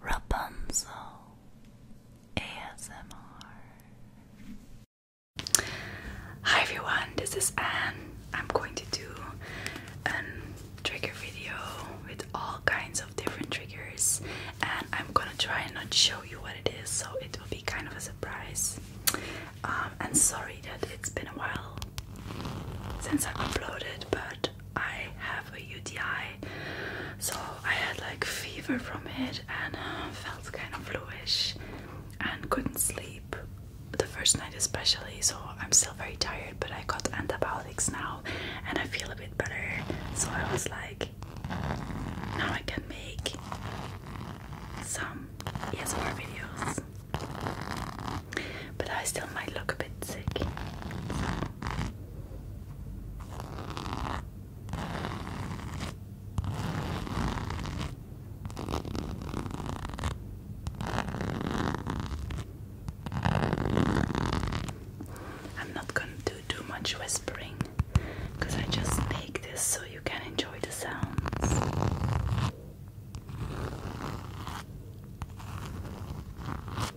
Rapunzel ASMR. Hi everyone, this is Anne. I'm going to do a trigger video with all kinds of different triggers, and I'm gonna try and not show you what it is, so it will be kind of a surprise. Um, and sorry that it's been a while since I've uploaded, but I have a UDI, so I had like fever from it and uh, felt kind of fluish and couldn't sleep the first night, especially. So I'm still very tired, but I got antibiotics now and I feel a bit better. So I was like, now I can make some ESMR videos, but I still might look a bit sick. I'm not going to do much whispering because I just make this so you can enjoy the sounds.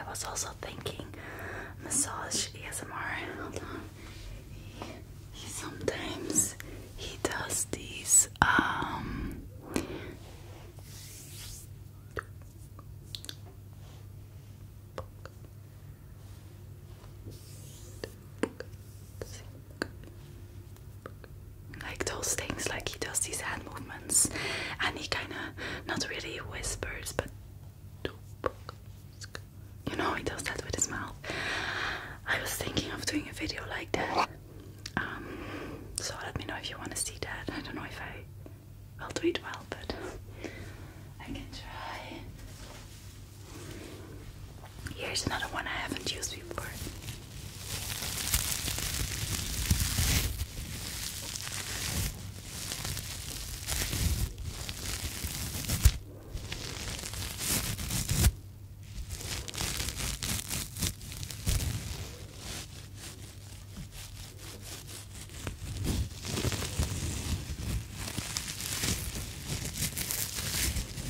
I was also thinking massage ASMR. sometimes he does these um, like those things like he does these hand movements and he kind of not really whispers but you know he does that with his mouth i was thinking of doing a video like that um, so let me know if you want to see that i don't know if i will do it well but i can try Here's another one I haven't used before.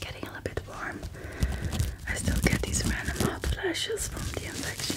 Getting a little bit warm. I still get these random hot flashes from the infection.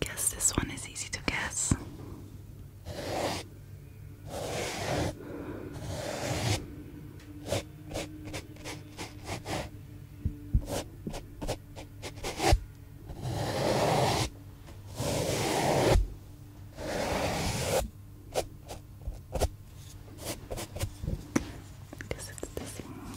Guess this one is easy to guess. guess it's the same.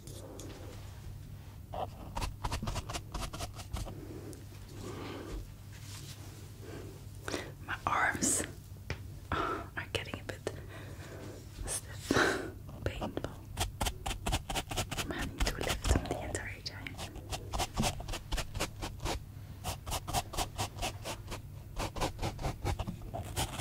My arms are getting a bit stiff, painful. I'm having to lift them the entire time.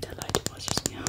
The light was just me out.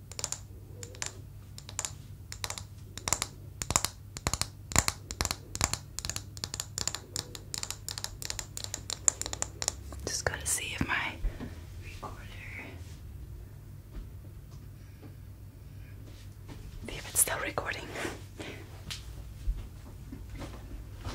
Just gotta see if my recorder if it's still recording. Okay.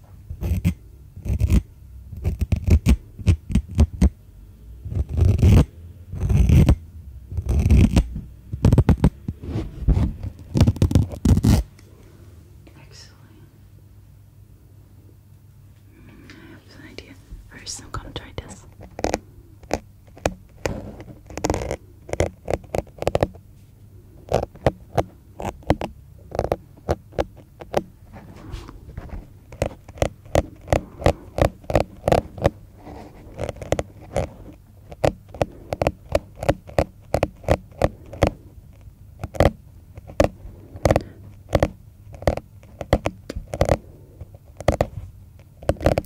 Excellent. I have an idea. First, I'm gonna try this.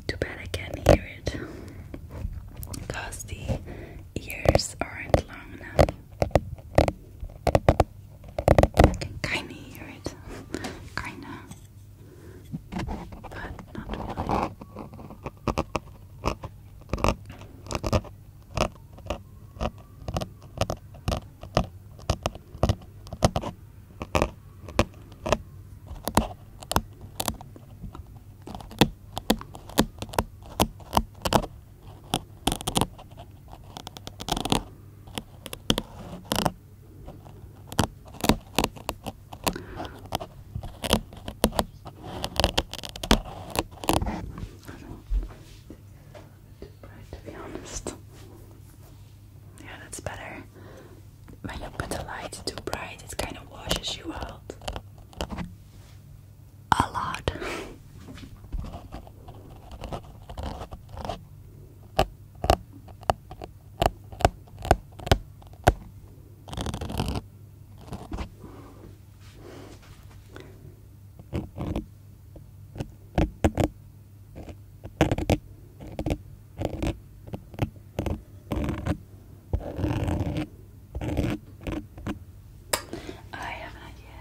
Too bad I can't hear it because the ears aren't long enough. I can kinda hear it. kinda. But not really. I bright to be honest. Yeah, that's better. When you put a light too bright, it kind of washes you out. A lot. I have an idea.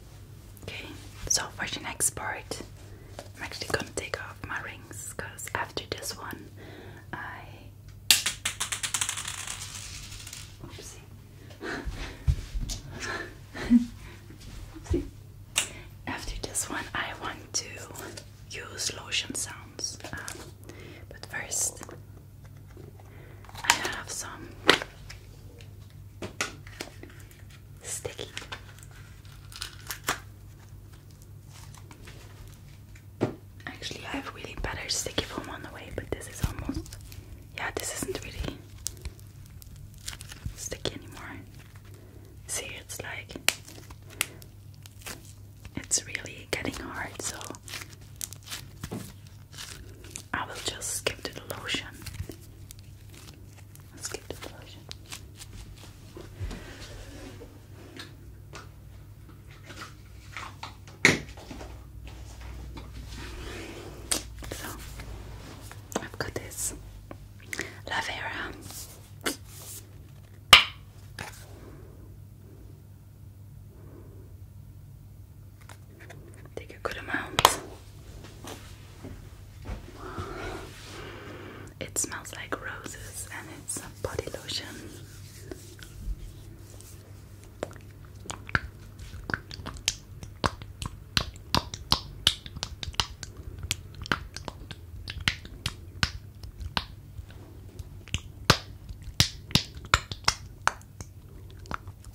Okay, so for the next part, I'm actually gonna take off my rings because after this one, I. Oopsie. Oopsie. After this one, I want to use lotion sounds. Um, but first, I have some sticky. Actually, I have really better sticky foam on the way, but this is almost. Yeah, this isn't really sticky anymore. See, it's like. It's really getting hard, so I will just skip to the lotion. Let's get the lotion. So, I've got this La Take a good amount. It smells like roses and it's a body lotion.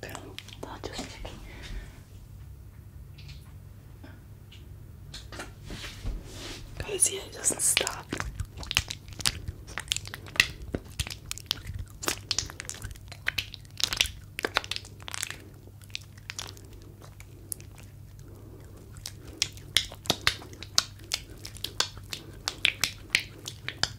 Perdón, estaba it doesn't stop.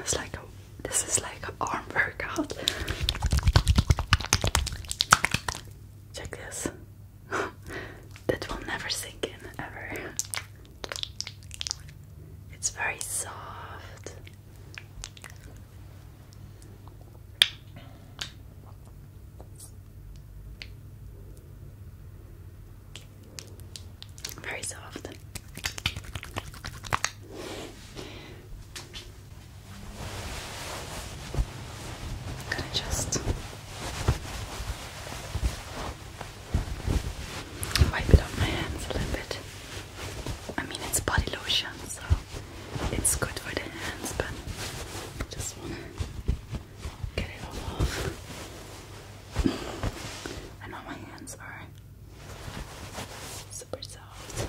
It's like this is like an arm workout. Check this. that will never sink in ever. It's very soft. Very soft. gonna just wipe it on my hands a little bit. I mean, it's body lotion, so it's good for the hands, but just wanna get it all off. I know my hands are super soft.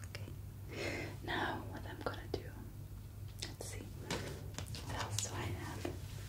Okay. Now what I'm gonna do. Let's see. What else do I have?